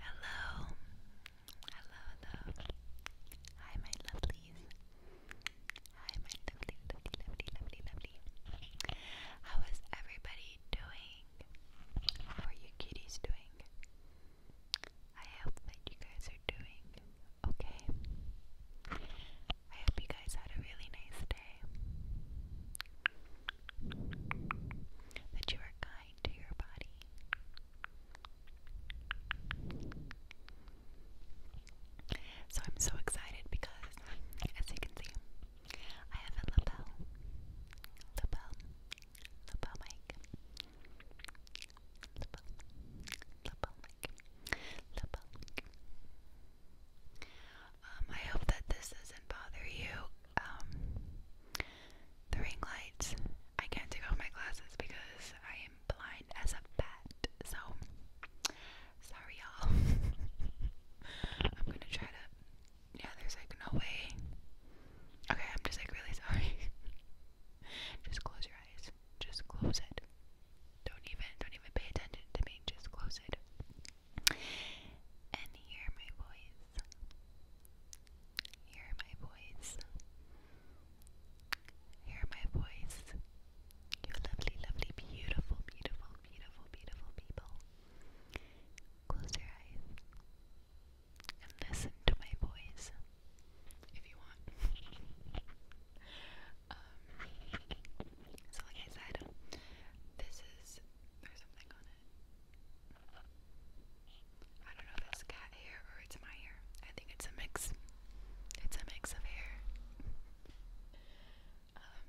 Hello, hello, hello. Hi, my lovelies. Hi, my lovely, lovely, lovely, lovely, lovely. How is everybody doing? How are you kitties doing? I hope that you guys are doing okay. I hope you guys had a really nice day. That you were so I'm so excited because, as you can see, I have a lapel, lapel, lapel mic, lapel, lapel mic, lapel mic. Um, I hope that this doesn't bother you. Um, the ring lights. I can't take off my glasses because I am blind as a bat. So sorry, y'all. I'm gonna try to. Yeah, there's like no way. Okay, I'm just like really sorry. just close your eyes. Just close it. Don't even, don't even pay attention to me. Just close it and hear my voice. Hear my voice. Hear my voice. You lovely, lovely, beautiful, beautiful, beautiful, beautiful people. Close your eyes and listen to my voice if you want. Um, so, like I said, this is or something on it. I don't know if it's cat hair or it's my hair. I think it's a mix. It's a mix of hair. um,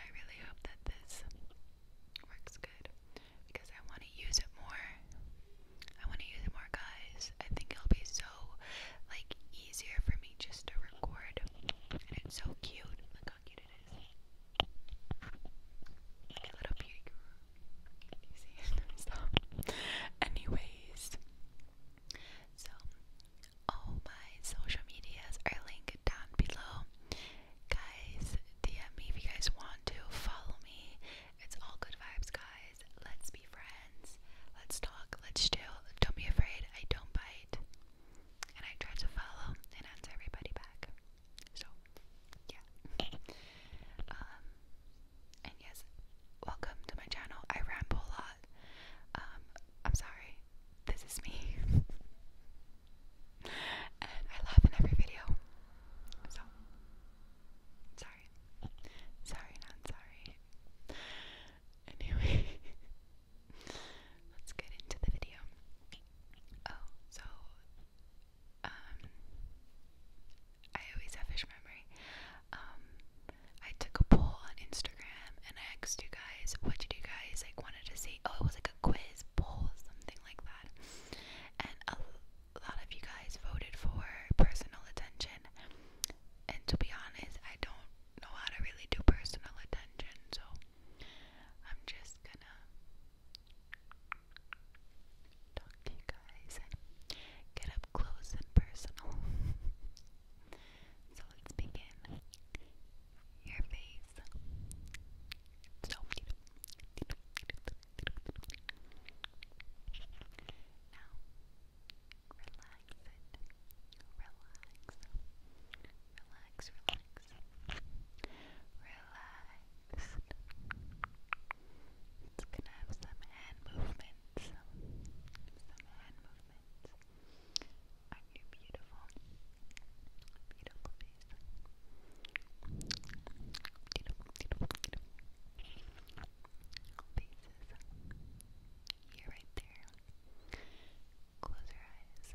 I really hope that this works good because I want to use it more. I want to use it more, guys. I think it'll be so like easier for me just to record, it's so cute. Anyways, so all my social medias are linked down below. Guys, DM me if you guys want to. Follow me. It's all good vibes, guys. Let's be friends. Let's talk. Let's chill. Don't be afraid. I don't bite and I try to follow and answer everybody back. So, yeah. um, and yes, welcome to my channel. I ramble a lot. Um, I'm sorry. This is me. and I laugh in every video. So, sorry. Sorry, not sorry. Anyway, let's get into the video. Oh, so um I always have fish memory. Um I took a poll on Instagram and I asked you guys what did you guys like wanted to see? Oh, it was like a quiz poll, something like that. And a lot of you guys voted for personal attention. And to be honest, I don't know how to really do personal attention, so I'm just gonna talk to you guys and get up close and personal. so let's begin. Your face. So now, relax it, relax, relax, relax, relaxed. It's gonna have some hand movements, some, some hand movements on your beautiful, beautiful face. Beautiful, beautiful, beautiful faces. You're right there. Close your eyes.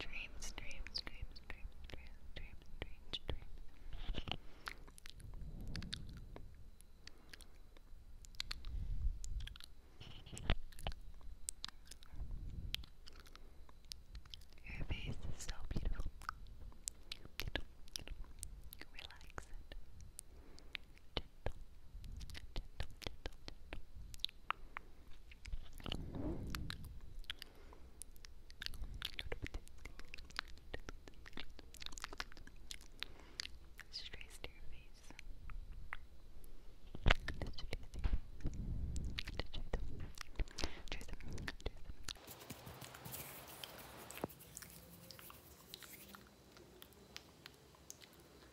Dreams, dreams, dreams, dreams, dreams, dreams, dreams, dreams. Your face is so beautiful. Relax Gentle, gentle, gentle, gentle. Strays to your face. Just trace to your face. Just trace them. Trace them. Trace them.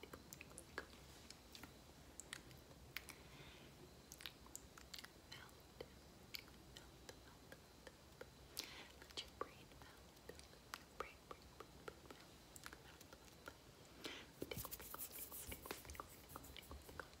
melt, melt, melt. Let your brain melt. Brain, brain, brain, brain, melt, melt, melt. Tickle, tickle, tickle, tickle, tickle, tickle, tickle, tickle. Tickles.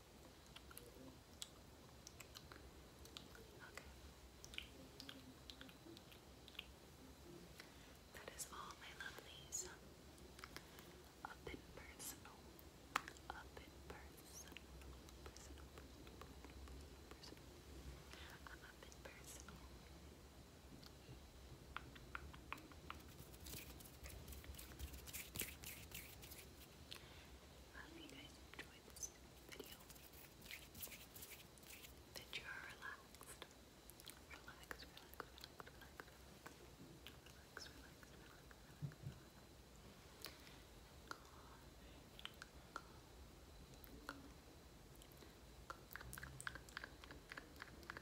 Okay. That is all my lovelies. Up personal. Oh. Up personal. Personal. I'm up personal. I hope you guys enjoyed this video. That you are relaxed. Relax, relax, relax, relax, relax, relax, relax,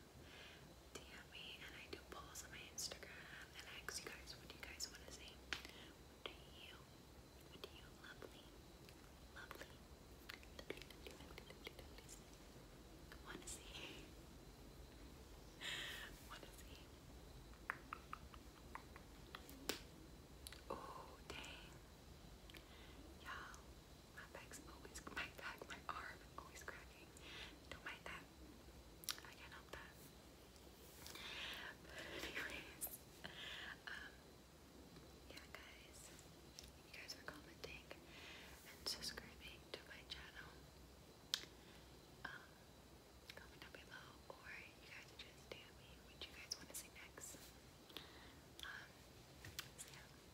DM me, and I do polls on my Instagram, and ask you guys, what do you guys want to see? What do you, what do you lovely, lovely, lovely, lovely, lovely, lovely, lovely want to see? want to see? Oh, dang. Y'all, my back's always my back, my arm always cracking. Don't mind that. I can't help that. anyways, um, yeah, guys, you guys are commenting and subscribing to my channel. Um, comment down below, or you guys just DM me what you guys want to see next. Um, yeah.